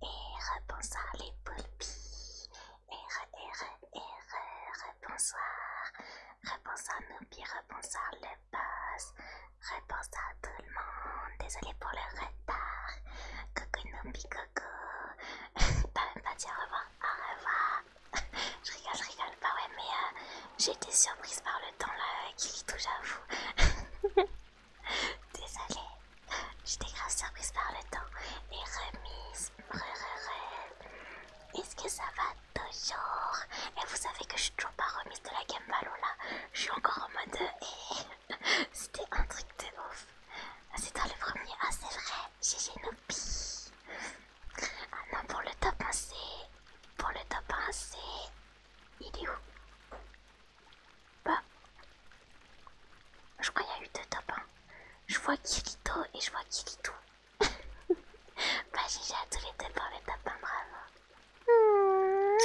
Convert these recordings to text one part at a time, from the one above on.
Eh, bonsoir les poulpis. Et R, R, bonsoir. Rebonsoir Noupi, rebonsoir le boss. Rebonsoir tout le monde. Désolé pour le retard. Coucou Noupi, coucou. Pas même pas dire au revoir. Au revoir. je rigole, je rigole. pas, bah ouais, mais euh, j'ai été surprise par le temps là qui touche à vous. Désolée, j'étais grave surprise par le temps. et remise, Est-ce que ça va toujours Et vous savez que je suis toujours pas remise de la Game là. Je suis encore en mode. Et... Eh, c'était un truc de ouf. Ah, c'est dans le premier. Ah, c'est vrai, j'ai Ah non, pour le top 1, Pour le top 1, Il est où bah. Je crois qu'il y a eu deux top 1. Je vois Kirito et je vois Kirito. bah GG à tous les deux pour les top 1, bravo. Hmm.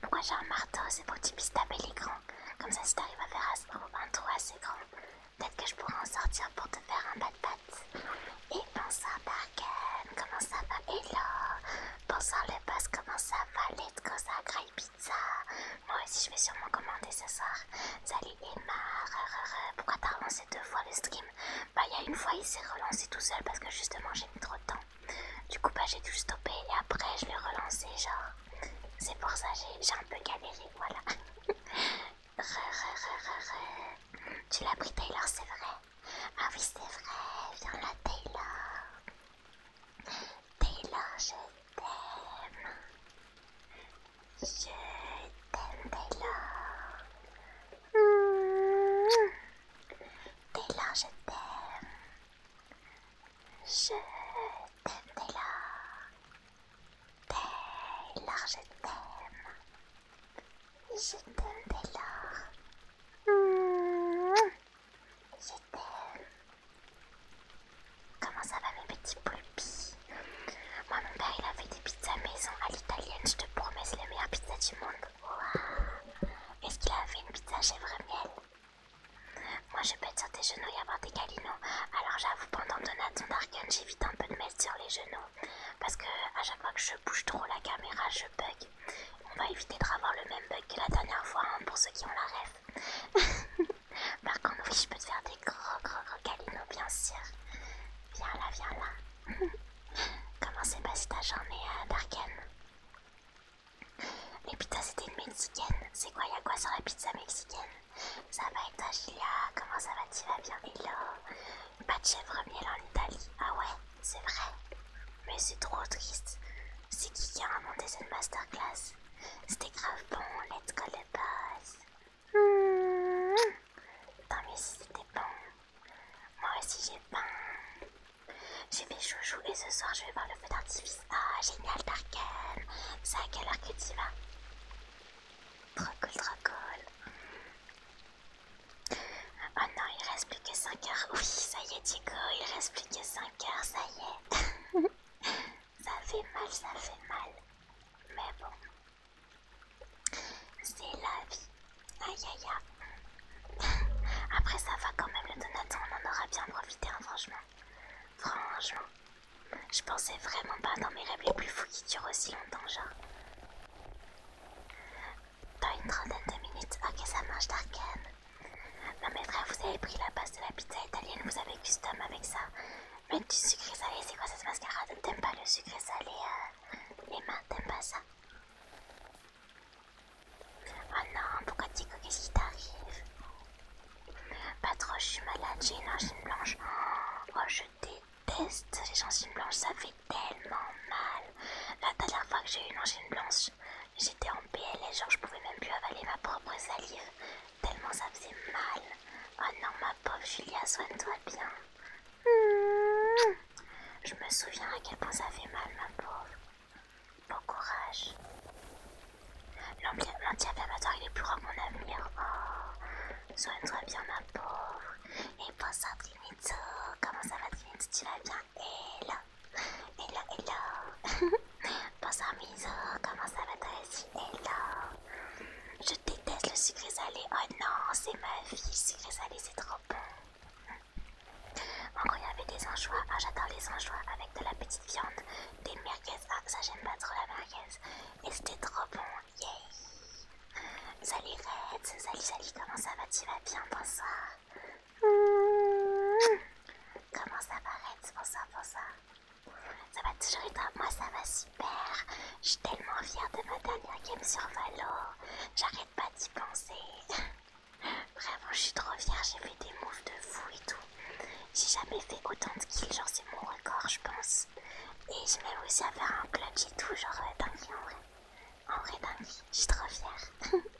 Pourquoi j'ai un marteau C'est pour que tu puisses taper l'écran. Comme ça, si t'arrives à faire un, trou assez grand, peut-être que je pourrais en sortir pour te faire un bat-bat. Et à Barken. Comment ça va Hello Bonsoir le passe comment ça va Let's go, ça graille pizza. Moi aussi, je vais sûrement commander ce soir. Salut Emma, pourquoi t'as relancé deux fois le stream Bah, il y a une fois, il s'est relancé tout seul parce que justement, j'ai mis trop de temps. Du coup, bah, j'ai dû le stopper et après, je l'ai relancé, genre. C'est pour ça, j'ai un peu galéré, voilà. Tu l'as pris Taylor, c'est vrai. Ah oui, c'est vrai, viens là, Taylor. Taylor, je t'aime. Je t'aime, Taylor. Mm. Taylor, je t'aime. Je t'aime, Taylor. Taylor, je t'aime. Je t'aime, Taylor. J'étais... Euh, comment ça va mes petits pupilles Moi mon père il a fait des pizzas maison à l'italienne, je te promets c'est la meilleure pizza du monde. Est-ce qu'il a fait une pizza chèvre miel Moi je pète sur tes genoux et avoir des câlinots. Alors j'avoue pendant son Darken j'évite un peu de mettre sur les genoux. Parce que à chaque fois que je bouge trop la caméra je bug on va éviter de revoir le même bug que la dernière fois hein, pour ceux qui ont la rêve. Par contre, oui, je peux te faire des gros gros gros bien sûr. Viens là, viens là. Comment s'est passée ta journée à euh, Darken Les pizzas c'était une mexicaine. C'est quoi, y'a quoi sur la pizza mexicaine Ça va être toi, Julia Comment ça va, tu vas bien Hello Pas de chèvre miel en Italie. Ah ouais, c'est vrai. Mais c'est trop triste. C'est qui qui a inventé cette masterclass C'était grave bon, let's go de boss. Hmm. Tant mieux si c'était bon. Moi aussi j'ai faim. J'ai fait chouchou et ce soir je vais voir le feu d'artifice. Ah, génial Tarkan. C'est à quelle heure que tu vas Trop cool, trop cool. Oh non, il reste plus que 5 heures. Oui, ça y est, Diego, il reste plus que 5 heures, ça y est. ça fait mal, ça fait mal. Mais bon, c'est la vie. Aïe aïe aïe. Après, ça va quand même, le Donaton, on en aura bien profité, hein, franchement. Franchement, je pensais vraiment pas dans mes rêves les plus fous qui durent aussi longtemps, genre dans une trentaine de minutes. Ok, ça mange d'arcane. Non mais frère, vous avez pris la base de la pizza italienne, vous avez custom avec ça. Mais du sucré salé, c'est quoi cette mascarade T'aimes pas le sucré salé Les euh, mains, t'aimes pas ça Oh non, pourquoi Tico, qu'est-ce qui t'arrive Pas trop, je suis malade, j'ai une angine blanche. Oh, je déteste les angines blanches, ça fait tellement mal. La dernière fois que j'ai eu une angine blanche, J'étais en PLS, genre je pouvais même plus avaler ma propre salive, tellement ça faisait mal. Oh non, ma pauvre Julia, soigne-toi bien. Hmm. Je me souviens à quel point ça fait mal, ma pauvre. Bon courage. L'anti-inflammatoire, il est plus grand que mon avenir. Oh, soigne-toi bien, ma pauvre. Et bonsoir, Trinito. Comment ça va, Trinito Tu vas bien Hello, hello. Bonsoir Miso, comment ça va toi Hello. Je déteste le sucré salé. Oh non, c'est ma vie. Le sucré salé, c'est trop bon. Encore, il y avait des anchois. Ah, j'adore les anchois avec de la petite viande. Des merguez. Ah, ça, j'aime pas trop la merguez. Et c'était trop bon. Yay. Yeah. Salut Red. Salut, salut. Comment ça va Tu vas bien Bonsoir. Hmm. Comment ça va, Red Bonsoir, bonsoir. Ça va toujours être Moi, ça va super. Je suis tellement fière de ma dernière game sur Valor, J'arrête pas d'y penser. Vraiment, je suis trop fière. J'ai fait des moves de fou et tout. J'ai jamais fait autant de kills. Genre, c'est mon record, je pense. Et je même aussi à faire un clutch et tout. Genre, euh, dingue en vrai en vrai dingue, je suis trop fière.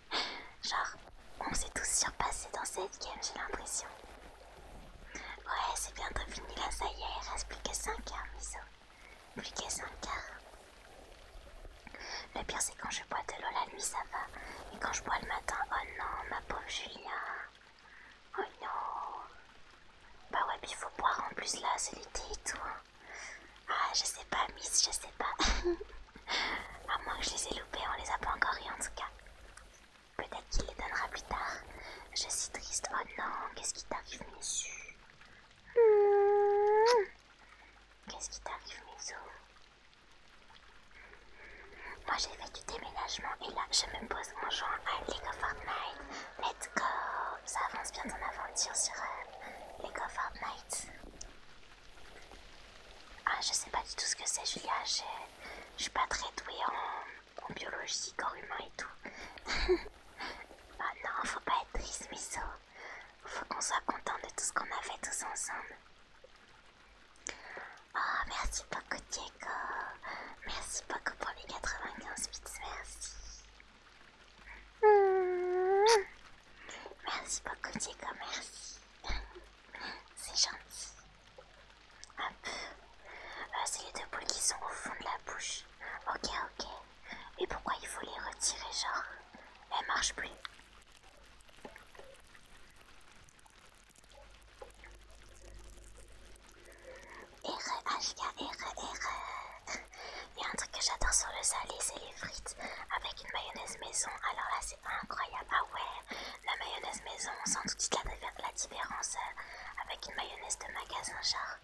Genre, on s'est tous surpassés dans cette game, j'ai l'impression. Ouais, c'est bientôt fini là, ça y est, il reste plus que 5 heures, Miso. Plus que 5 heures. Le pire, c'est quand je bois de l'eau la nuit, ça va. et quand je bois le matin, oh non, ma pauvre Julia. Oh non. Bah ouais, puis il faut boire en plus là, c'est l'été et tout. Hein. Ah, je sais pas, Miss, je sais pas. à moins que je les ai loupés, on les a pas encore eu en tout cas. Peut-être qu'il les donnera plus tard. Je suis triste. Oh non, qu'est-ce qui t'arrive, Miss Qu'est-ce qui t'arrive, Miss Moi, j'ai fait du déménagement et là, je me pose en jouant à Lego Fortnite. Let's go Ça avance bien ton aventure sur euh, Lego Fortnite. Ah, je sais pas du tout ce que c'est, Julia. Je suis pas très douée en, biologie, corps humain et tout. ah non, faut pas être triste, Miso. Faut qu'on soit content de tout ce qu'on a fait tous ensemble. Oh, merci beaucoup, Diego. Merci beaucoup pour les 95 bits, merci. Merci beaucoup, Diego, merci. C'est gentil. Hop. Euh, c'est les deux boules qui sont au fond de la bouche. Ok, ok. Mais pourquoi il faut les retirer, genre Elles marchent plus. Ah, il y a un truc que j'adore sur le salé, c'est frites avec une mayonnaise maison. Alors là, c'est incroyable. Ah ouais, la mayonnaise maison, on sent tout de suite la, différence euh, avec une mayonnaise de magasin, char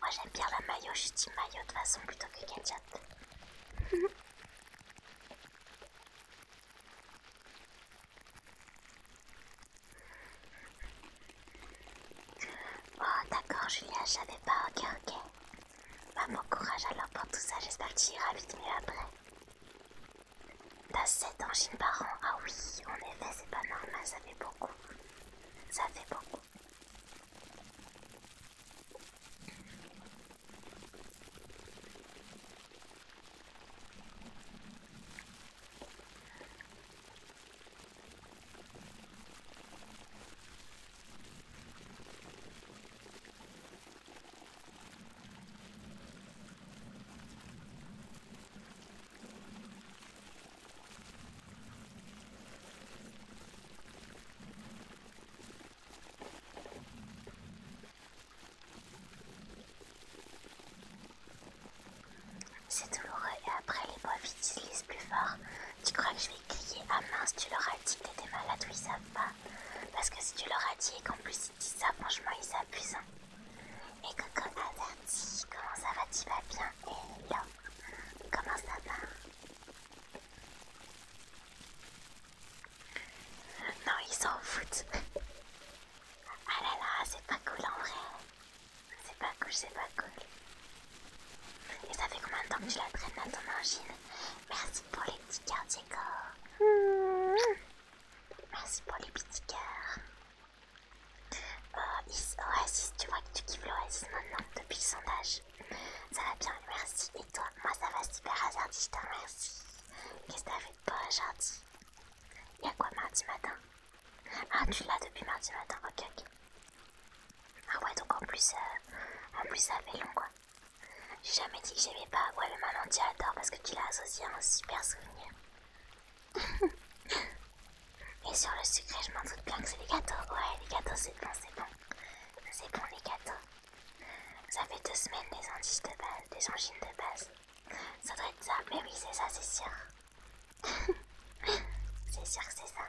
Moi, j'aime bien la mayo, je dis mayo de façon plutôt que ketchup. oh, d'accord, Julia, je pas. Ok, ok. Maman, bah, bon courage alors pour tout ça, j'espère que tu iras vite mieux après. T'as 7 angines par an, ah oui, en effet c'est pas normal, ça fait beaucoup. Ça fait beaucoup. C'est douloureux et après les bois ils plus fort. Tu crois que je vais crier à mince, tu leur as dit que t'étais malade, oui, ils savent pas. Parce que si tu leur as dit et qu'en plus ils disent ça, franchement ils s'abusent. Hein. Et Et t'as dit comment ça va, tu vas bien Hello, comment ça va Non, ils s'en foutent. Ah là là, c'est pas cool en vrai. C'est pas cool, c'est pas cool. Et ça fait combien de temps que tu la traînes dans ton machine. Merci pour les petits cartes Let's Merci pour les petits cœurs. Oh is tu vois que tu kiffes l'Oasis maintenant depuis le sondage. Ça va bien, merci. Et toi Moi ça va super hasardi, je Qu'est-ce que t'as fait de beau Y Y'a quoi mardi matin Ah, tu l'as depuis mardi matin, ok, ok. Ah ouais, donc en plus, euh, en plus ça fait long quoi. J'ai jamais dit que j'aimais pas. Ouais, le maintenant tu parce que tu l'as associé à un super souvenir. Et sur le sucré, je m'en doute bien que c'est des gâteaux. Ouais, les gâteaux, c'est bon, c'est bon. C'est bon, les gâteaux. Ça fait deux semaines les angines de base, des angines de base. Ça doit être ça, mais oui, c'est ça, c'est sûr. c'est sûr que c'est ça.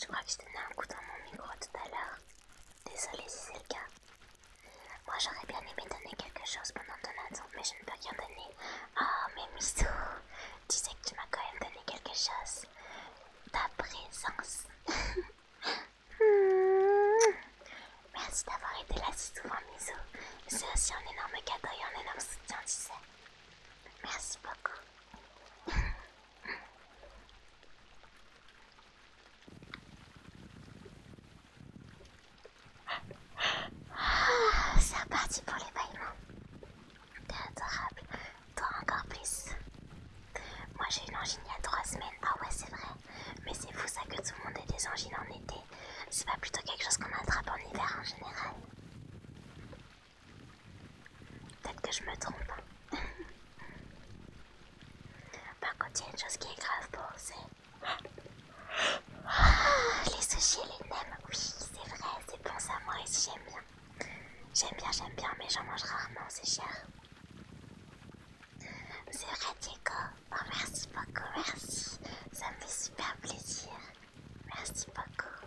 Je crois que je donnais un coup dans mon micro tout à l'heure. Désolée si c'est le cas. Moi j'aurais bien aimé donner quelque chose pendant ton mais je ne peux rien donner. Oh, mais miso, tu sais que tu m'as quand même donné quelque chose. Ta présence. Hmm. Merci d'avoir été là si souvent, Miso. C'est aussi un énorme cadeau et un énorme soutien, tu sais. Merci beaucoup. Ah, c'est reparti pour les T'es adorable. Toi encore plus. Moi j'ai une angine il y a trois semaines. Ah ouais c'est vrai. Mais c'est fou ça que tout le monde ait des angines en été. C'est pas plutôt quelque chose qu'on attrape en hiver en général. Peut-être que je me trompe. Par contre, il y a une chose qui est grave pour c'est. Ah, les sushis les nems. Oui, c'est vrai, c'est bon ça, moi aussi j'aime bien. J'aime bien, j'aime bien, mais j'en mange rarement, c'est cher. C'est vrai, Diego. Oh, merci beaucoup, merci. Ça me fait super plaisir. Merci beaucoup.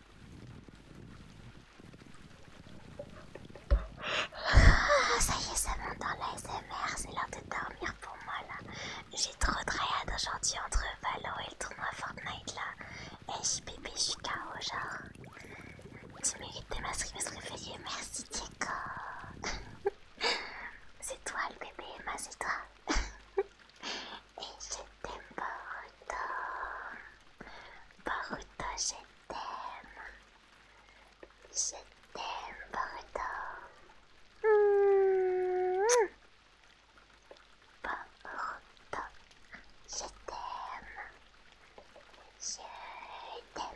Ah, ça y est, ça monte dans l'ASMR, c'est l'heure de dormir pour moi là. J'ai trop de rayades aujourd'hui entre Valo et le tournoi Fortnite là. Eh, bébé, je suis KO genre. Tu mérites des masques de se réveiller, merci Diego. c'est toi le bébé Emma, c'est toi. et je t'aime pour Baruto, je t'aime. Je t'aime, Baruto. Mmh. Baruto, je t'aime. Je t'aime.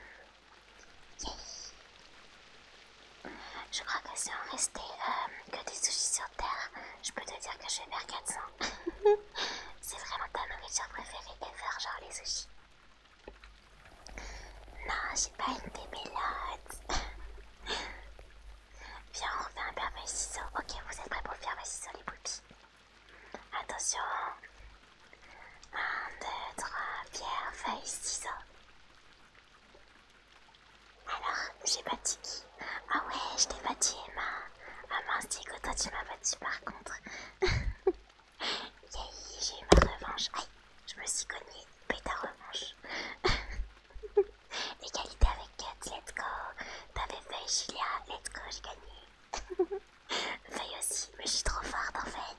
Je crois que si on restait euh, que des soucis sur Terre, je peux te dire que je vais faire 400. C'est vraiment ta nourriture préférée faire genre les sushis. Non, j'ai pas une démêlade. Viens, on fait un papier ciseaux. Ok, vous êtes prêts pour faire papier ciseaux, les poupies Attention. 1, 2, 3, pierre, feuille, ciseaux. Alors, j'ai pas qui Ah ouais, je t'ai dit Emma. Ah mince, Diego, toi tu m'as battu par contre. Yay, j'ai eu ma revanche. Aïe, je me suis Paye ta revanche. Égalité avec Kat, let's go. T'avais fait Julia, let's go, j'ai gagné. Feuille aussi, mais je suis trop forte en fait.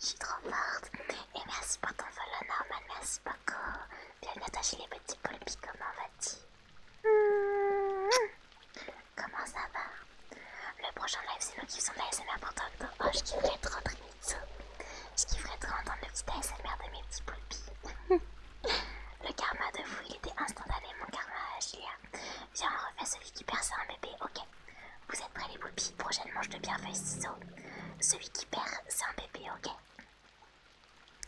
Je suis trop forte. Et merci pour ton follow normal, merci beaucoup. Bienvenue à toi les petits poulpes, comment vas-tu Comment ça va Le prochain live, c'est nous qui faisons de l'ASMR pour toi. Oh, je kifferais trop entendre Je kifferais trop entendre le petit ASMR de mes petits poulpis. le karma de vous, il était instantané, mon karma, Julia. Viens, on refait celui qui perd, c'est un bébé, ok. Vous êtes prêts, les poulpis Prochaine manche de pierre, feuille, ciseaux. Celui qui perd, c'est un bébé, ok.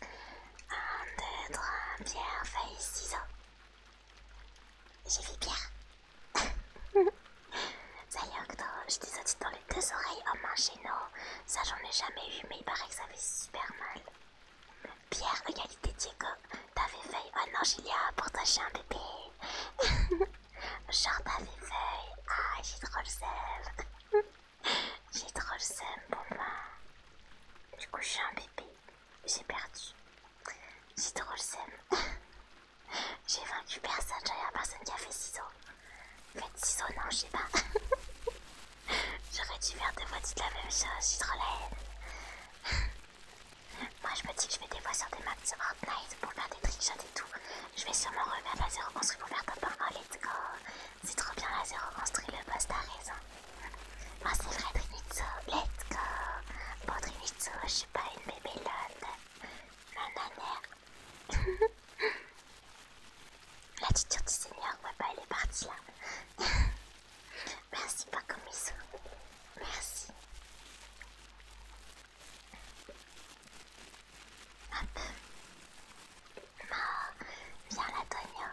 1, 2, 3, pierre, feuille, ciseaux. J'ai fait Pierre. ça y est, octobre, je des dans les deux oreilles en oh, nous. Ça, j'en ai jamais eu, mais il paraît que ça fait super mal. Pierre, égalité Diego, t'avais feuille. Oh non, Julia, pour toi, je un bébé. Genre, t'avais feuille. Ah, j'ai trop le seum. j'ai trop le seum, pour moi Du coup, je un bébé j'ai perdu. J'ai trop le sème. j'ai vaincu personne, j'avais personne qui a fait ciseaux. Faites ciseaux, non, je sais pas. J'aurais dû faire deux fois de la même chose, j'ai trop la Moi, je me dis que je vais des fois sur des maps de Fortnite pour faire des trickshots et tout. Je vais sûrement revenir la zéro construit pour faire top 1. let's go! C'est trop bien la zéro construit, le boss a raison. Moi c'est vrai Fredrimitsu, let's go Bon Fredrimitsu, je suis pas une bébélone La L'attitude du seigneur, ouais bah, elle est partie là Merci Bakumisu, merci Hop Viens la Tonio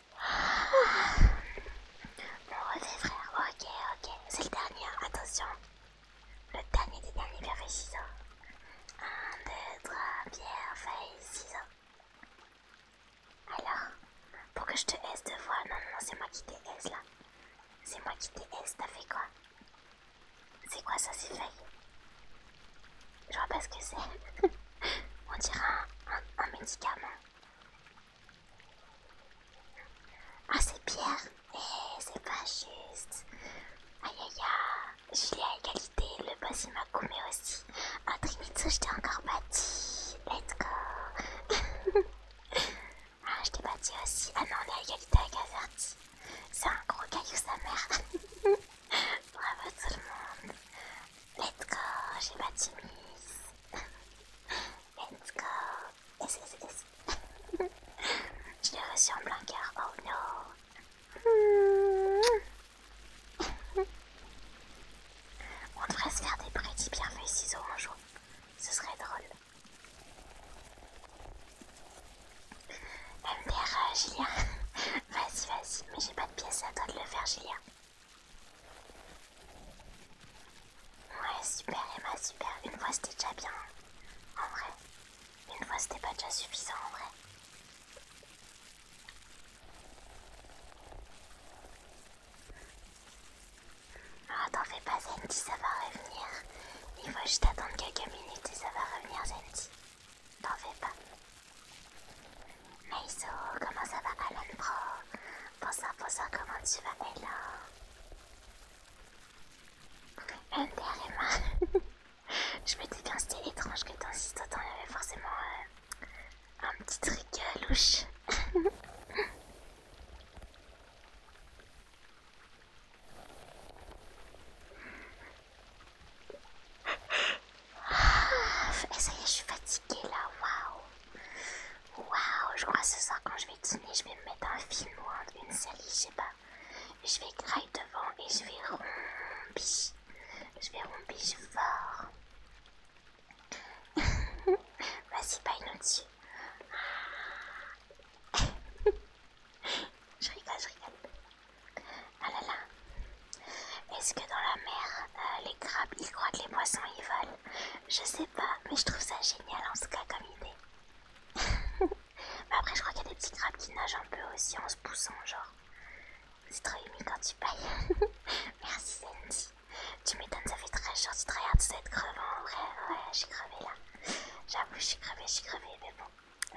mon refait frère, ok, ok, c'est le dernier, hein, attention. Le dernier des derniers, bien fait, ciseaux. 1, 2, 3, bien fait, ciseaux. Alors, pour que je te haisse deux fois, non, non, non, c'est moi qui t'ai S là. C'est moi qui t'ai S, t'as fait quoi C'est quoi ça, ces feuilles Je vois pas ce que c'est. On dirait un médicament. Ah, c'est Pierre. Eh, c'est pas juste. Aïe aïe aïe. Je l'ai à égalité. Le boss il m'a coupé aussi. Ah, Trinitsu, je t'ai encore bâti Let's go. ah, je t'ai bâti aussi. Ah non, on est à égalité avec Azerty. C'est un gros caillou, sa mère. Bravo tout le monde. Let's go. J'ai bâti Miss. Let's go. Je l'ai reçu en plein cœur. Oh no. On devrait se faire des petits bien ciseaux un jour. Ce serait drôle. MDR, euh, vas-y, vas-y. Mais j'ai pas de pièce à toi de le faire, Julia. Ouais, super Emma, super. Une fois c'était déjà bien. Hein, en vrai. Une fois c'était pas déjà suffisant en vrai. Oh, t'en fais pas Zenty, ça va revenir. Il faut juste attendre quelques minutes et ça va revenir Zenty. T'en fais pas. Maiso, comment ça va Alan Pro Bonsoir, bonsoir, comment tu vas Hello Un est Je me dis bien, c'était étrange que dans cette ans, il y avait forcément euh, un petit truc euh, louche. Ah, ça y est, je suis fatiguée là, waouh! Waouh, je crois que ce soir quand je vais dîner, je vais me mettre un film ou une série, je sais pas. Je vais grailler devant et je vais rompi. Je vais rompi fort. Vas-y, une une dessus. je rigole, je rigole. Ah là Est-ce que dans la mer, euh, les crabes ils croient que les poissons ils volent. Je sais pas, mais je trouve ça génial en tout cas comme idée. mais après, je crois qu'il y a des petits crabes qui nagent un peu aussi en se poussant, genre. C'est trop humide quand tu payes. Merci Sandy. Tu m'étonnes, ça fait très chaud, tu te regardes cette crevant en vrai. Ouais, j'ai crevé là. J'avoue, j'ai crevé j'ai crevé, mais bon,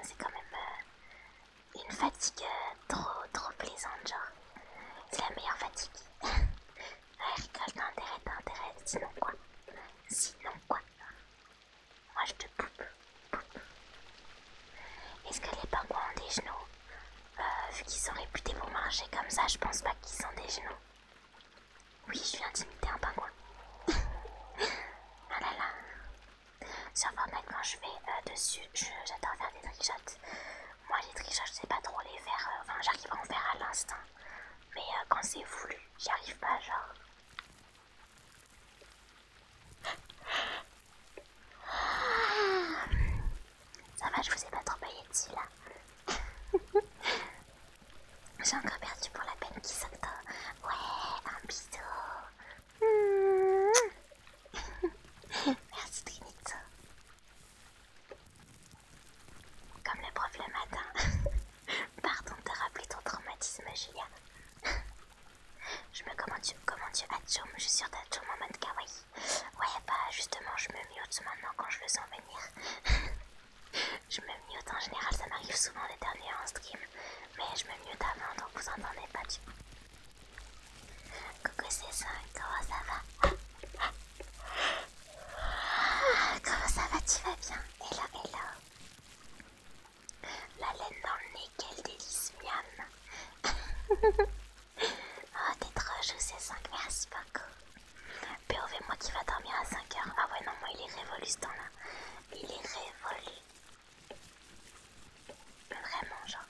c'est quand même euh, une fatigue euh, trop, trop plaisante, genre. C'est la meilleure fatigue. ouais, rigole, t'as intérêt, t'as intérêt. Sinon quoi Sinon quoi Moi je te poupe, Est-ce que les pingouins ont des genoux euh, Vu qu'ils sont réputés pour marcher comme ça, je pense pas qu'ils ont des genoux. Oui, je suis d'imiter un pingouin. ah là là. Sur Fortnite, quand je vais euh, dessus, j'adore faire des trickshots moi les tricheurs je sais pas trop les faire, euh, enfin j'arrive à en faire à l'instant, Mais euh, quand c'est voulu, j'y arrive pas genre. ça va, je vous ai pas trop payé dessus là. J'ai encore perdu pour la peine qui saute. Ouais, un bisou. Merci Trinito. Comme les profs le matin. Pardon de rappeler ton traumatisme, Julia. je me commande, commande Hatsum, je suis sûre d'Hatsum en mode kawaii. Ouais, bah justement, je me mute maintenant quand je veux sens venir. je me mute en général, ça m'arrive souvent les derniers en stream. Mais je me mute avant, donc vous entendez pas du Coucou C5, comment ça va Comment ça va, tu vas bien Hello, hello La laine dans le nez, quel délice, miam Oh, t'es trop chou, c 5, merci beaucoup POV, moi qui va dormir à 5h Ah ouais, non, moi il est révolu ce temps-là Il est révolu Vraiment, genre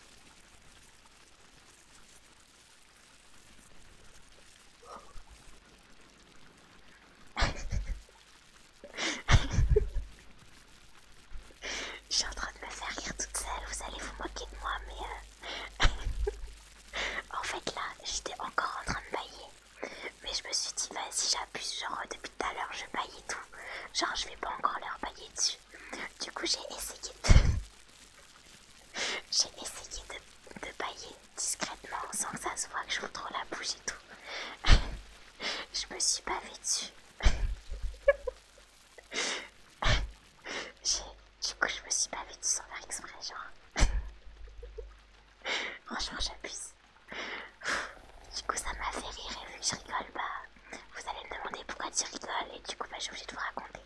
je suis en train de me faire rire toute seule, vous allez vous moquer de moi, mais... Euh, en fait là, j'étais encore en train de bailler. Mais je me suis dit, vas-y, j'abuse, genre depuis tout à l'heure, je baille et tout. Genre, je vais pas encore leur bailler dessus. Du coup, j'ai essayé de. j'ai essayé de, bailler discrètement sans que ça se voit que je vous trop la bouche et tout. je me suis bavée dessus. du coup, je me suis bavée dessus sans faire exprès, genre. Franchement, j'abuse. Du coup, ça m'a fait rire et vu que je rigole, bah, vous allez me demander pourquoi tu rigoles et du coup, bah, je suis de vous raconter.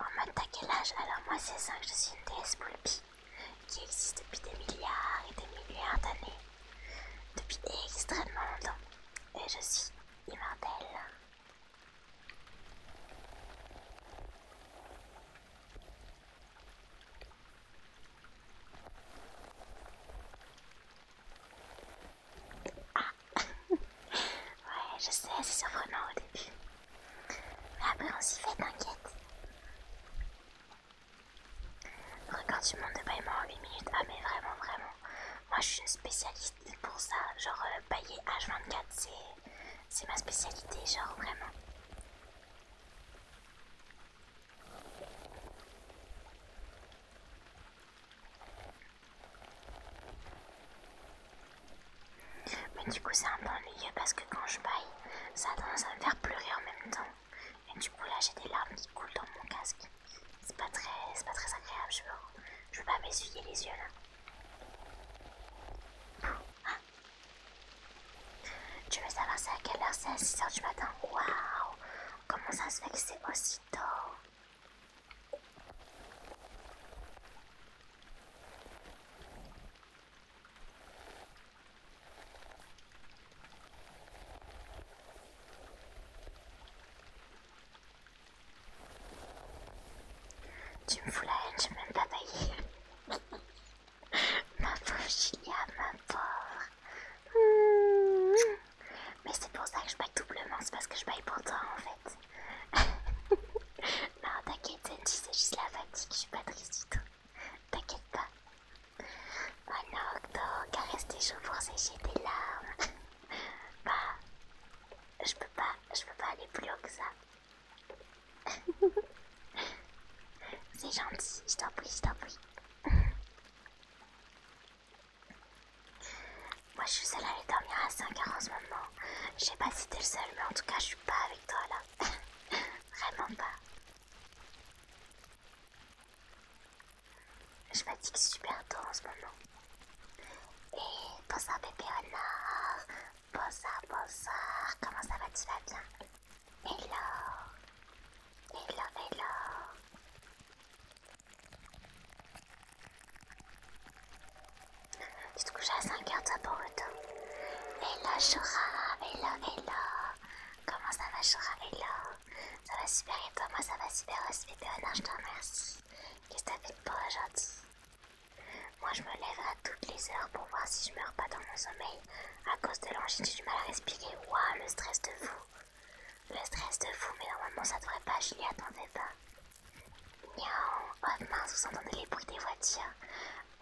en mode t'as quel âge Alors moi c'est que je suis une déesse poulpie qui existe depuis des milliards et des milliards d'années, depuis extrêmement longtemps, et je suis immortelle. Ah Ouais, je sais, c'est surprenant au début. Mais après, on s'y fait, t'inquiète. Regarde, tu monde de paiement en 8 minutes. Ah, mais vraiment, vraiment. Moi, je suis une spécialiste pour ça. Genre, bailler euh, pailler H24, c'est ma spécialité, genre vraiment. Mais du coup, c'est un peu ennuyeux parce que quand je paille, ça a tendance à me faire pleurer en même temps. Et du coup, là, j'ai des larmes qui coulent dans mon casque. C'est pas très, agréable, je veux, je veux pas m'essuyer les yeux là. Tu veux savoir c'est à quelle heure c'est à 6 heures du matin Waouh Comment ça se fait que c'est aussi tôt tu me fous la haine, je vais même pas bailler. ma pauvre Julia, ma pauvre. Mais c'est pour ça que je baille doublement, c'est parce que je baille pour toi en fait. non, t'inquiète, c'est juste la fatigue, je suis pas triste du tout. T'inquiète pas. Oh non, donc, caresse tes cheveux pour sécher tes larmes. bah, je peux je peux pas aller plus haut que ça. C'est gentil, je t'en prie, je t'en prie. Moi je suis seule à aller dormir à 5h en ce moment. Je sais pas si t'es le seul, mais en tout cas je suis pas avec toi là. Vraiment pas. Je fatigue super tôt en ce moment. Et pense à bébé Honor, Bonsoir, bonsoir, comment ça va, tu vas bien Hello Hello, hello Tu te couches à 5h toi pour autant Hello Shura, hello, hello Comment ça va Shura, hello Ça va super et toi Moi ça va super aussi, non, je te remercie Qu'est-ce que as fait pour aujourd'hui moi je me lève à toutes les heures pour voir si je meurs pas dans mon sommeil à cause de l'angine, j'ai du mal à respirer. Waouh, le stress de fou. Le stress de fou, mais normalement ça devrait pas, je n'y attendais pas. Niaou, oh mince, vous entendez les bruits des voitures.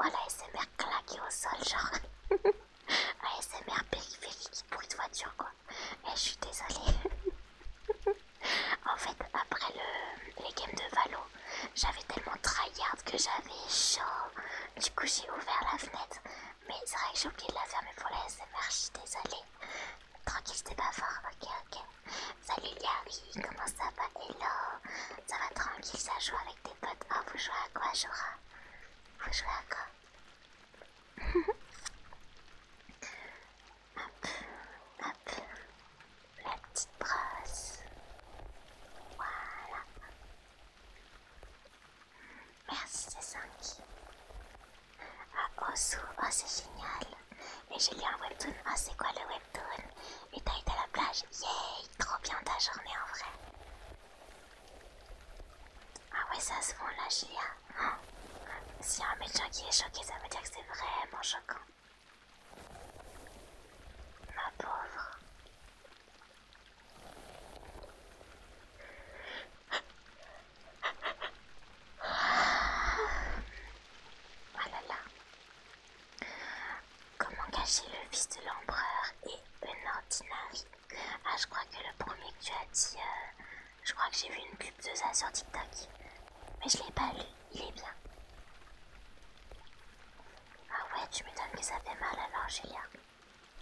Oh la SMR claquée au sol, genre. smr périphérique, bruit de voiture quoi. Eh, je suis désolée. en fait, après le, les games de Valo, j'avais tellement tryhard que j'avais chaud. Du coup, j'ai ouvert la fenêtre. Mais c'est vrai que j'ai oublié de la fermer pour la SMR, je suis désolée. Tranquille, c'était pas fort, ok, ok. Salut comment ça va Hello Ça va tranquille, ça joue avec tes potes. Oh, vous jouez à quoi, Jora Vous jouez à quoi Hop, hop la petite brosse. Voilà. Merci, c'est 5. Ah, Osu, oh, oh c'est génial. Et j'ai lu un webtoon. Ah, c'est quoi le webtoon Et t'as été à la plage. Yay, trop bien ta journée en vrai. Ah ouais, ça se vend là, Julia. S'il y un médecin qui est choqué, ça veut dire que c'est vraiment choquant. Ma pauvre. Voilà. Ah Comment cacher le fils de l'empereur et une ordinari Ah, je crois que le premier que tu as dit, euh, je crois que j'ai vu une pub de ça sur TikTok. Mais je l'ai pas lu il est bien. Ah ouais, tu m'étonnes que ça fait mal alors, Julia.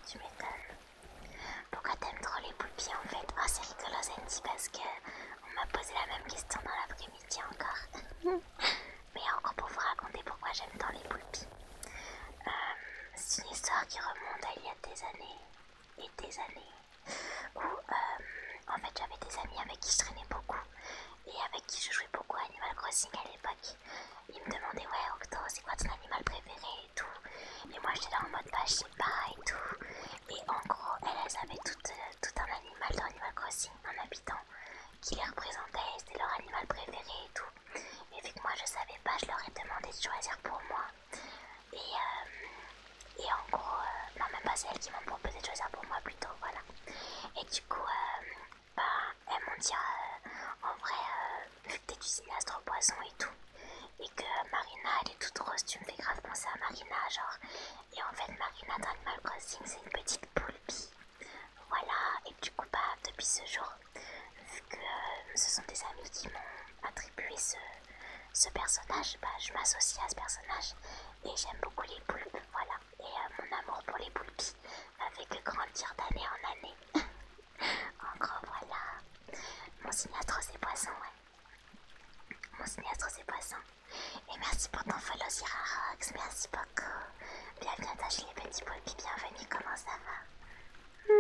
Tu m'étonnes. Pourquoi t'aimes trop les poupies en fait Oh, c'est rigolo, Sandy, parce que on m'a posé la même question dans l'après-midi encore. Mais encore pour vous raconter pourquoi j'aime tant les poupies. Euh, c'est une histoire qui remonte à il y a des années et des années où euh, en fait j'avais des amis avec qui je traînais beaucoup et avec qui je jouais beaucoup à Animal Crossing à l'époque. Ils me demandaient ouais Octo c'est quoi ton animal préféré et tout. Et moi j'étais là en mode bah je sais pas et tout. Et en gros Elles avaient euh, tout, un animal dans Animal Crossing, un habitant qui les représentait, c'était leur animal préféré et tout. Et vu que moi je savais pas, je leur ai demandé de choisir pour moi. Et, euh, et en gros, euh, même pas c'est elles qui m'ont proposé de choisir pour moi plutôt, voilà. Et du coup, euh, bah, elles m'ont dit euh, en vrai, vu euh, que t'es du cinéaste au poisson et tout, et que Marina elle est toute rose, tu me fais grave penser à Marina, genre. Et en fait, Marina d'Animal Crossing, c'est une petite poulpie. Voilà, et du coup, bah, depuis ce jour, vu que ce sont des amis qui m'ont attribué ce, ce personnage, bah, je m'associe à ce personnage et j'aime beaucoup les poulpes, voilà et mon amour pour les poulpes avec le que grandir d'année en année. en gros, voilà. Mon signature c'est poisson, ouais. Mon signature c'est poisson. Et merci pour ton follow, Rox. Merci beaucoup. Bienvenue à toi, les petits poulpis. Bienvenue, comment ça va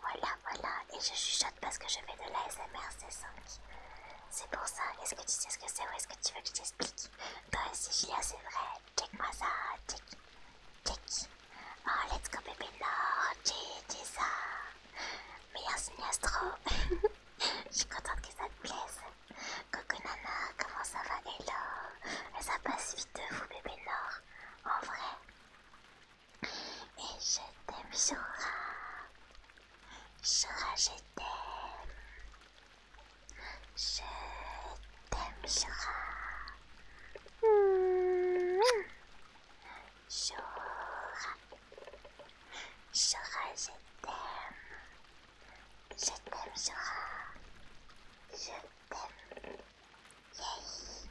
Voilà, voilà. Et je chuchote parce que je fais de l'ASMR C5. C'est pour ça, est-ce que tu sais ce que c'est ou est-ce que tu veux que je t'explique Toi aussi Julia, ah, c'est vrai, check-moi ça, check, check. Oh, let's go bébé Nord, j'ai ça. Meilleur signastro. Je suis contente que ça te plaise. Coucou Nana, comment ça va Hello Ça passe vite de vous bébé Nord, en vrai. Et je t'aime Jura. Je t'aime. Je t'aime, Sora. Sora. Sora, je t'aime. Je t'aime, Sora. Je t'aime. Yay.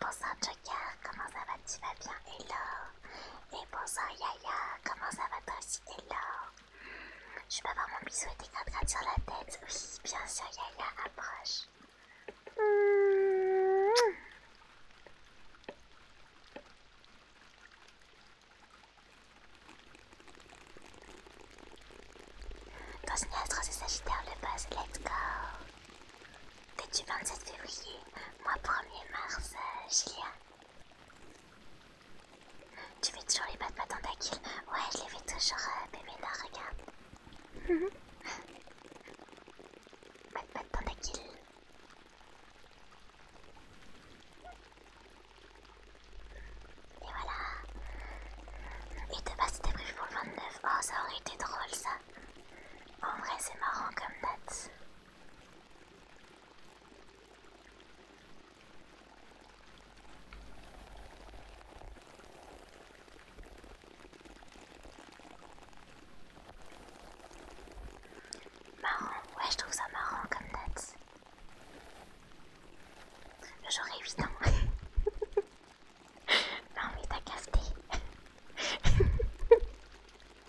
Bonsoir, Joker. Comment ça va? Tu vas bien? Hello. Et bonsoir Yaya, comment ça va toi t'es l'or Je peux avoir mon bisou et tes grattes sur la tête Oui, bien sûr Yaya, approche mmh. c'est Sagittaire le buzz, let's go T'es du 27 février, mois 1er mars, euh, Julien Julia tu fais toujours les pas de Ouais, je les fais toujours, bébé euh, là, regarde. Pas de Et voilà. Et de base, c'était prévu pour le 29. Oh, ça aurait été drôle ça. En vrai, c'est marrant comme date. Marrant, ouais je trouve ça marrant comme date. J'aurais huit ans. non mais t'as capté. Oh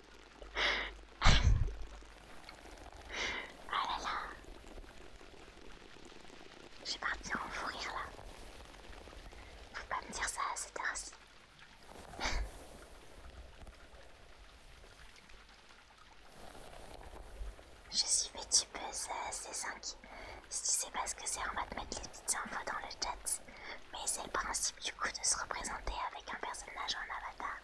là Je suis en fou rire là. Faut pas me dire ça à cette heure Je suis peu assez 5 Si tu sais pas ce que c'est, on va te mettre les petites infos dans le chat. Mais c'est le principe du coup de se représenter avec un personnage en avatar.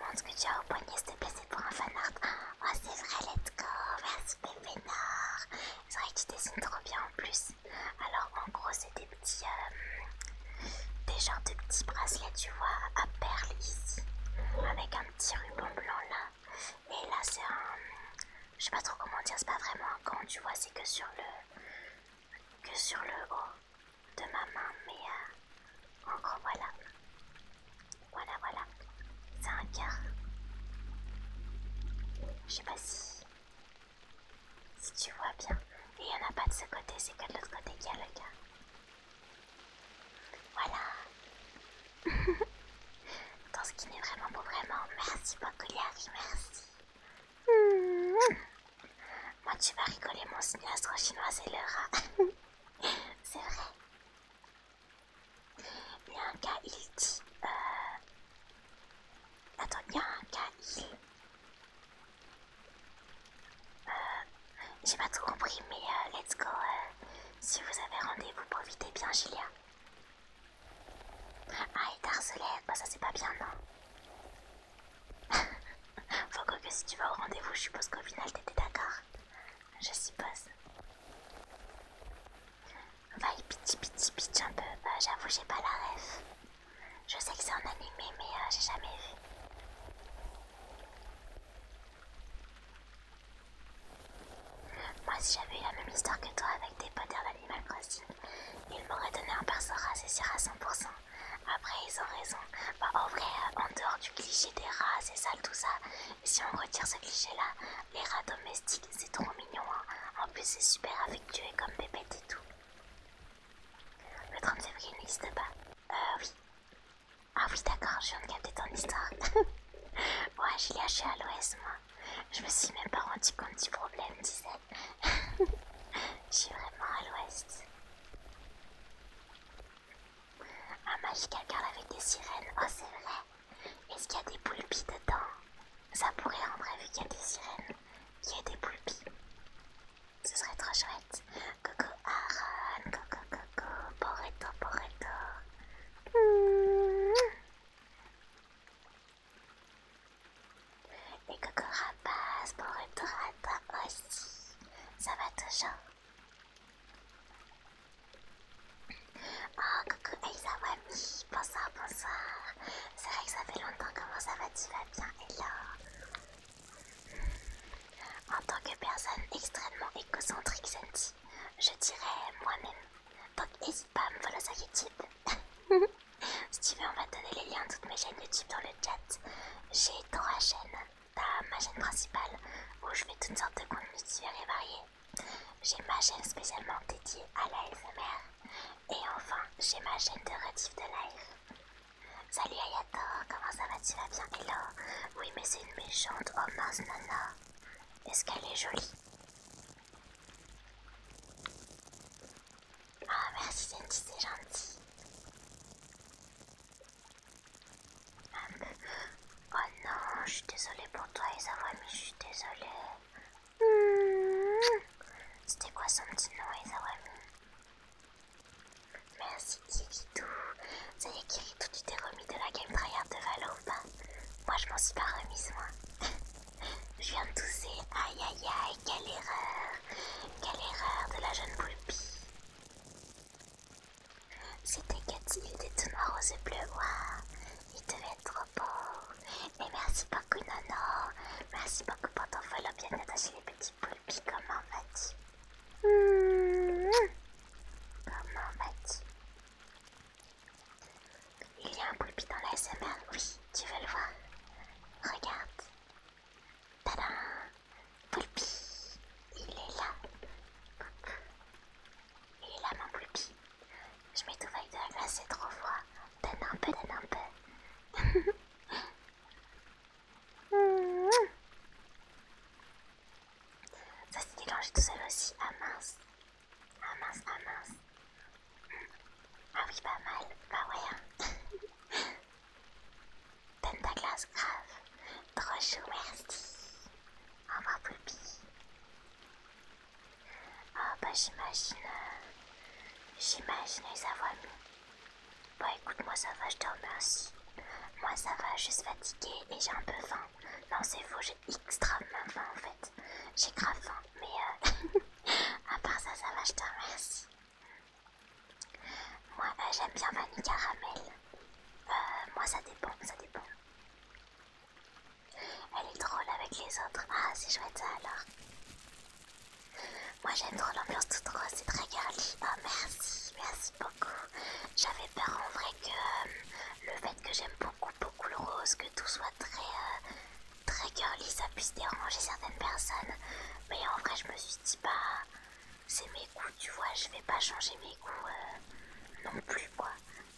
Montre que tu as au poignet, s'il te pour un fanart. Oh, c'est vrai, let's go. Merci, bébé Nord. C'est vrai que tu dessines trop bien en plus. Alors, en gros, c'est des petits. Euh, des genres de petits bracelets, tu vois, à perles ici. Avec un petit ruban blanc là. Et là, c'est un. Je sais pas trop comment dire, c'est pas vraiment un gant, tu vois, c'est que sur le. que sur le haut de ma main, mais euh, voilà. Voilà, voilà. C'est un cœur. Je sais pas si... Si tu vois bien. Et il n'y en a pas de ce côté, c'est que de l'autre côté qu'il y a le cœur. Voilà. ce qui n'est vraiment pas vraiment. Merci beaucoup, Yari, merci. Moi, tu vas rigoler, mon sinistre chinois, c'est le rat. c'est vrai. Il y a un cas, il dit. Euh, attends, il y a un cas, il. Euh, j'ai pas tout compris, mais euh, let's go. Si vous avez rendez-vous, profitez bien, Julia. Ah, et Darcelette, bah, ça c'est pas bien, non Faut que, si tu vas au rendez-vous, je suppose qu'au final t'étais d'accord. Je suppose. y piti piti piti un peu, bah, j'avoue j'ai pas la ref. Je sais que c'est un animé mais euh, j'ai jamais vu. Moi si j'avais eu la même histoire que toi avec des potes d'Animal Crossing, ils m'auraient donné un perso rassé à 100%. Après, ils ont raison. Bah, en vrai, euh, en dehors du cliché des rats, c'est sale tout ça. Si on retire ce cliché-là, les rats domestiques, c'est trop mignon. Hein. En plus, c'est super affectueux comme bébête et tout. Le 30 février n'existe pas. Euh, oui. Ah oui, d'accord, je viens de capter ton histoire. ouais, j'ai lâché à l'OS, moi. Je me suis même pas rendu compte du problème, disait. Je suis vraiment à l'ouest. Un magical girl avec des sirènes, oh c'est vrai. Est-ce qu'il y a des poulpes dedans Ça pourrait en vrai vu qu'il y a des sirènes. Il y a des poulpes. Ce serait trop chouette. Coco Aaron, coco coco, porreto porreto. Hmm. Et Coco rapaz pour retour à toi aussi. Ça va toujours Oh, coucou Aiza Wami, bonsoir, bonsoir. C'est vrai que ça fait longtemps, comment ça va Tu vas bien, Hello En tant que personne extrêmement égocentrique, Senti, je dirais moi-même. Donc n'hésite pas à me follow sur YouTube. si tu veux, on va te donner les liens de toutes mes chaînes YouTube dans le chat j'ai trois chaînes, t'as ma chaîne principale où je fais toutes sortes de contenus divers et variés. J'ai ma chaîne spécialement dédiée à la LFMR. Et enfin, j'ai ma chaîne de rediff de l'air. Salut Ayato, comment ça va Tu vas bien Hello Oui mais c'est une méchante, oh nana. Est-ce qu'elle est jolie ah merci c'est gentil. oh non, je suis désolée pour toi et je suis désolée. Hmm. C'était quoi son petit nom, Isawami Merci Kirito. Ça y est, tu t'es remis de la game tryhard de Valopa Moi, je m'en suis pas remise, moi. je viens de tousser. Aïe aïe aïe, quelle erreur Quelle erreur de la jeune poulpie c'était Cathy, il était tout noir rose et bleu, il devait être trop beau. et merci beaucoup, Nono. Merci beaucoup pour ton follow. Bien attaché les petits poulpi Comment vas-tu Comment vas-tu Il y a un poulpi dans la SMR. Oui, tu veux le voir Regarde, Tada Poulpi Il est là Il est là mon Poulpi Je m'étouffe de la glace, c'est trop froid Donne un peu, donne un peu Ça s'est déclenché tout seul aussi, ah mince Ah mince, ah mince Ah oui, pas mal, bah ouais hein. Pentaglas glace grave. Trop chou, merci. Au revoir, Poulpi. Ah bah, j'imagine. Euh, j'imagine j'imagine, ça va mieux. Bah, écoute, moi, ça va, je te remercie. Moi, ça va, je suis fatiguée et j'ai un peu faim. Non, c'est faux, j'ai extrêmement faim en fait. J'ai grave faim, mais euh, à part ça, ça va, je te remercie. Moi eh, j'aime bien vanille caramel. Euh, moi ça dépend, ça dépend. Elle est drôle avec les autres. Ah c'est chouette ça alors. Moi j'aime trop l'ambiance toute rose, c'est très girly. Oh merci, merci beaucoup. J'avais peur en vrai que euh, le fait que j'aime beaucoup beaucoup le rose, que tout soit très euh, très girly, ça puisse déranger certaines personnes. Mais en vrai je me suis dit pas bah, c'est mes goûts, tu vois, je vais pas changer mes goûts euh, non plus, quoi.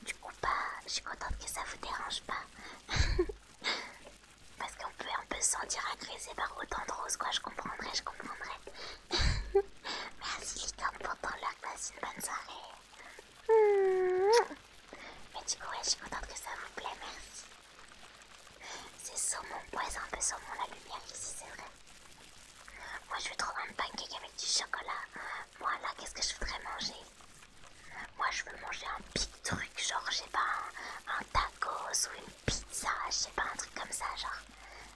Du coup, pas, je suis contente que ça vous dérange pas. Parce qu'on peut un peu se sentir agressé par autant de roses, quoi, je comprendrais, je comprendrais. Merci Licorne pour ton une bonne soirée. Hmm. Mais du coup, je suis contente que ça vous plaît, merci. C'est saumon, mon c'est un peu saumon la lumière ici, c'est vrai. Moi je veux trouver un pancake avec du chocolat. Moi là, qu'est-ce que je voudrais manger Moi je veux manger un big truc, genre je sais pas, un, taco tacos ou une pizza, je sais pas, un truc comme ça, genre.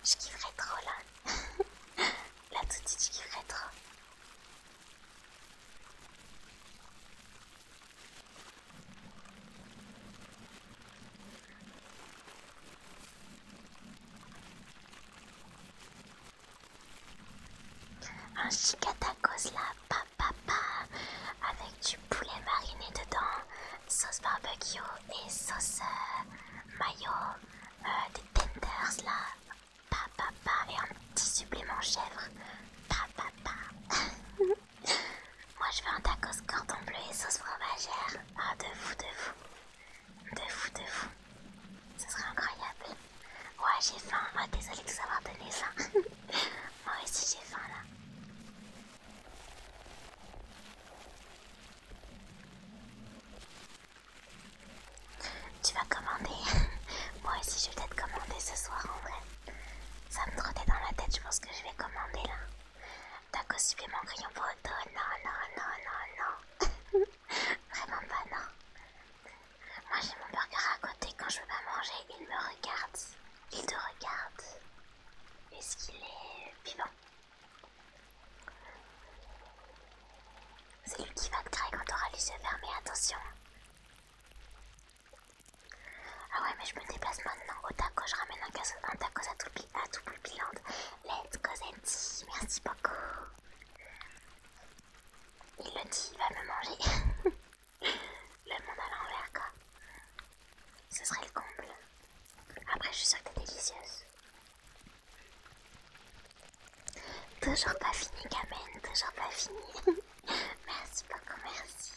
Je kifferais trop là. là tout de suite je kifferais trop. Un chicatacos là, papa, pa, avec du poulet mariné dedans, sauce barbecue et sauce euh, mayo, euh, des tenders là, papa, pa, et un petit supplément chèvre, papa. Pa, Moi je veux un tacos cordon bleu et sauce fromagère. Ah de vous, de vous. De fou, de fou Ce serait incroyable. Ouais j'ai faim, moi ah, désolé de vous avoir donné ça. moi aussi j'ai faim là. Tu vas commander Moi aussi je vais peut-être commander ce soir en vrai. Ça me trottait dans la tête, je pense que je vais commander là. T'as cospé mon crayon photo Non, non, non, non, non. Vraiment pas, non. Moi j'ai mon burger à côté, quand je veux pas manger, il me regarde. Il te regarde. Est-ce qu'il est vivant C'est lui qui va te créer quand t'auras les yeux fermés, attention. Ah ouais, mais je me déplace maintenant. Au taco, je ramène un, un tacos à tout à tout Pupilande. Let's Cosetti, merci beaucoup. Il le dit, il va me manger. le monde à l'envers, quoi. Ce serait le comble. Après, je suis sûre que t'es délicieuse. Toujours pas fini, Kamen, toujours pas fini. merci beaucoup, merci.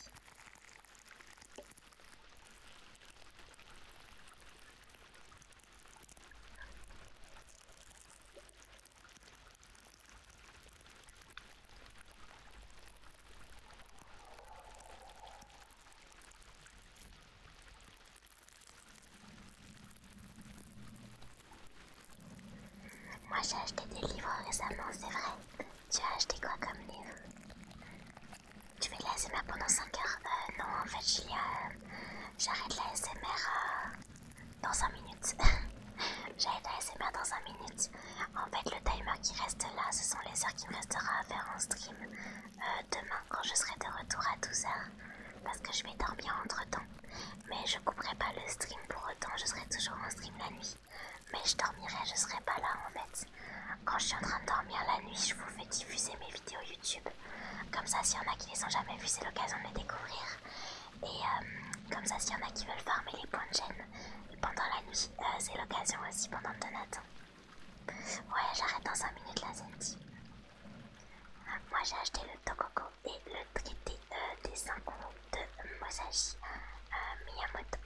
Moi j'ai acheté des livres récemment, c'est vrai. Tu as acheté quoi comme livre tu fais de l'ASMR pendant 5 heures euh, Non, en fait, euh, j'arrête la SMR euh, dans 5 minutes. j'arrête l'ASMR dans 5 minutes. En fait, le timer qui reste là, ce sont les heures qui me restera à faire en stream euh, demain quand je serai de retour à 12h. Parce que je vais dormir entre temps. Mais je couperai pas le stream pour autant, je serai toujours en stream la nuit. Mais je dormirai, je serai pas là en fait. Quand je suis en train de dormir la nuit, je vous fais diffuser mes vidéos YouTube. Comme ça, s'il y en a qui les ont jamais vues, c'est l'occasion de les découvrir. Et euh, comme ça, s'il y en a qui veulent farmer les points de chaîne pendant la nuit, euh, c'est l'occasion aussi pendant le donaton. Ouais, j'arrête dans 5 minutes la Zenti. Moi, j'ai acheté le Tokoko et le traité euh, des 5 de Musashi Miyamoto.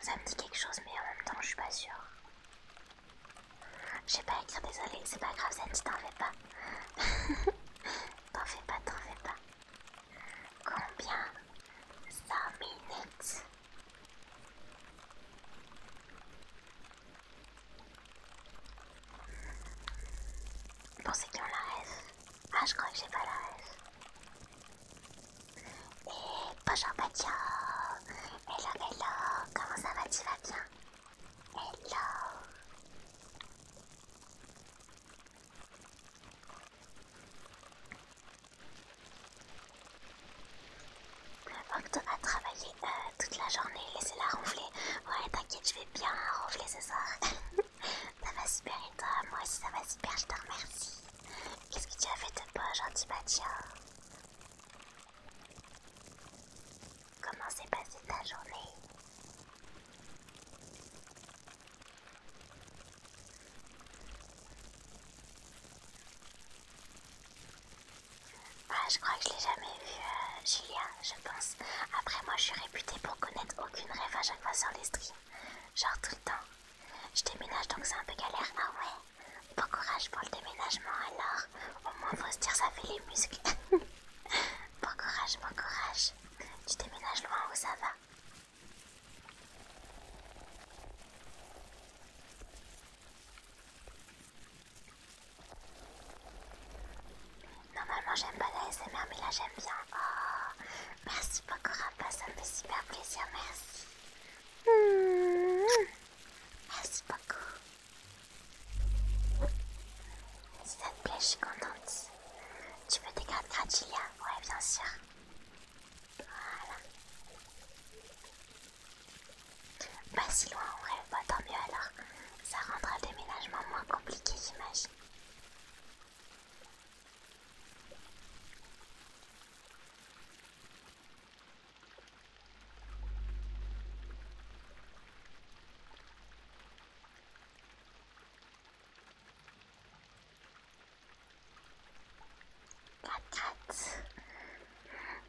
Ça me dit quelque chose, mais en même temps, je suis pas sûre. Je sais pas écrire, désolé, c'est pas grave, ne t'en fais pas. t'en fais pas, t'en fais pas. Combien 5 minutes Pour ceux qui la rêve. Ah, je crois que j'ai pas la rêve. Et bonjour Patio Hello, hello. Comment ça va Tu vas bien Hello. tu tu travaillé travailler euh, toute la journée, laissez-la ronfler. Ouais, t'inquiète, je vais bien ronfler ce soir. ça va super et toi Moi aussi ça va super, je te remercie. Qu'est-ce que tu as fait de toi, aujourd'hui, Batia Comment s'est passée ta journée ah, je crois que je l'ai jamais vu, euh, Julia, je pense. Après, moi, je suis réputée pour connaître aucune rêve à chaque fois sur les streams. Genre tout le temps. Je déménage donc c'est un peu galère. Ah ouais. Bon courage pour le déménagement alors. Au moins faut se dire ça fait les muscles. bon courage, bon courage. Tu déménages loin où ça va. Normalement j'aime pas la mais là j'aime bien. Oh, merci beaucoup Rafa, ça me fait super plaisir, merci. Hmm, merci beaucoup. Si ça te plaît, je suis contente. Tu veux des cartes Oui, hein? Ouais, bien sûr. Voilà. Pas si loin en vrai, bah, tant mieux alors. Ça rendra le déménagement moins compliqué, j'imagine. Patate.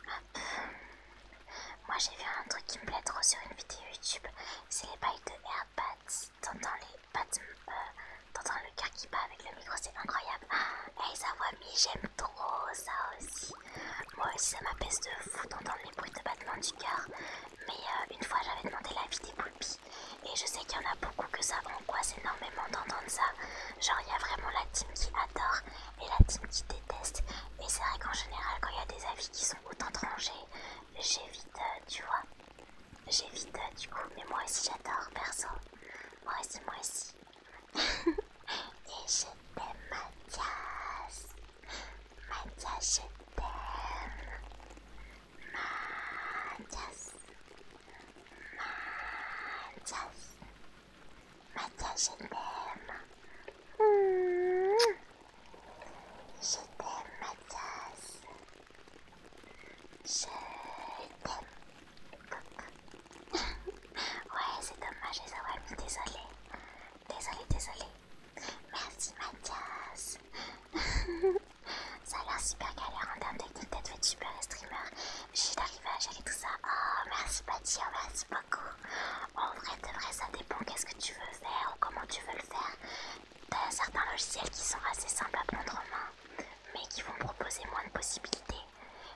Hop. Moi j'ai vu un truc qui me plaît trop sur une vidéo YouTube, c'est les bails de Airpads t'entends les euh, le cœur qui bat avec le micro, c'est incroyable. Ah, et ça voix mi, j'aime trop ça aussi. Moi aussi, ça m'apaise de fou d'entendre les bruits de battement du cœur. Mais euh, une fois, j'avais demandé l'avis des poulpes, Et je sais qu'il y en a beaucoup que ça c'est énormément d'entendre ça. Genre, il y a vraiment la team qui adore et la team qui déteste. Et c'est vrai qu'en général, quand il y a des avis qui sont autant tranchés, j'évite, euh, tu vois. J'évite euh, du coup, mais moi aussi j'adore, perso. Moi aussi, moi aussi. Et je t'aime, Mathias. Mathias, je t'aime. Mathias. Mathias. Mathias, je t'aime. Mmh. Je t'aime, Mathias. Je t'aime, coucou. ouais, c'est dommage ça avoir mis, désolé. Désolé, désolé. Merci Mathias. ça a l'air super galère en termes techniques d'être de et streamer. J'ai d'arriver à gérer tout ça. Oh, merci Mathias, oh, merci beaucoup. En vrai, de vrai, ça dépend qu'est-ce que tu veux faire ou comment tu veux le faire. T'as certains logiciels qui sont assez simples à prendre en main mais qui vont proposer moins de possibilités,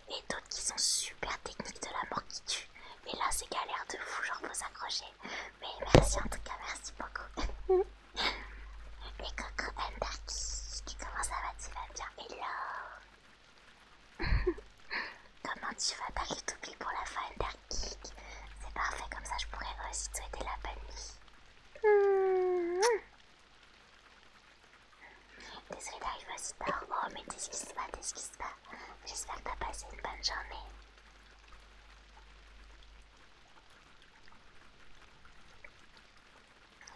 et d'autres qui sont super techniques de la mort qui tue. Et là, c'est galère de fou, genre faut s'accrocher. Mais merci en tout cas, merci beaucoup. et Coco Andarki, comment ça va Tu vas bien Hello Comment tu vas T'as eu pour la fin kick C'est parfait, comme ça je pourrais aussi te souhaiter la bonne nuit. Désolée d'arriver aussi tard. Oh, mais t'excuses pas, t'excuses pas. J'espère que t'as passé une bonne journée.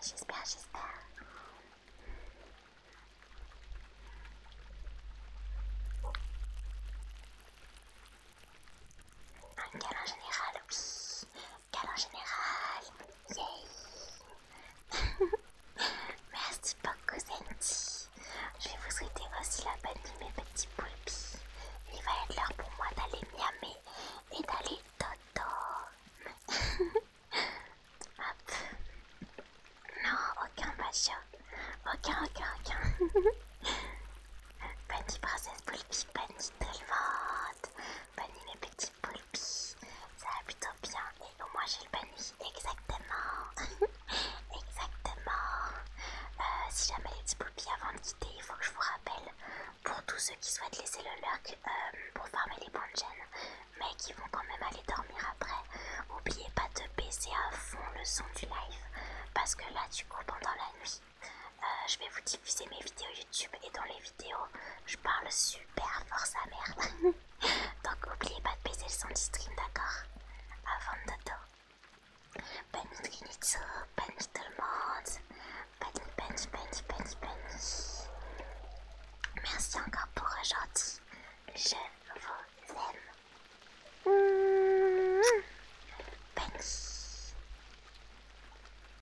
J'espère, j'espère. Un câlin général, oui. Calor général, yay Merci beaucoup senti Je vais vous souhaiter aussi la bonne nuit mes petits poulpies Il va être l'heure pour moi d'aller miamé et d'aller dodo Hop. Non, aucun macho. Aucun, aucun, aucun. bonne nuit princesse poulpie, bonne nuit tout Bonne nuit mes petits ça va plutôt bien et au moins j'ai le bonne exactement, exactement. Euh, si jamais les petits poulpi avant de quitter, il faut que je vous rappelle pour tous ceux qui souhaitent laisser le lurk euh, pour farmer les bonnes de mais qui vont quand même aller dormir après, n'oubliez pas de baisser à fond le son du live parce que là du coup pendant la nuit, euh, je vais vous diffuser mes vidéos YouTube et dans les vidéos, je parle super fort sa mère. Donc oubliez pas de baiser le son du stream, d'accord Avant de dodo. Bani Trinitsu, tout le monde. Bani, bani, bani, Merci encore pour aujourd'hui. Je vous aime. Mmh. Bani.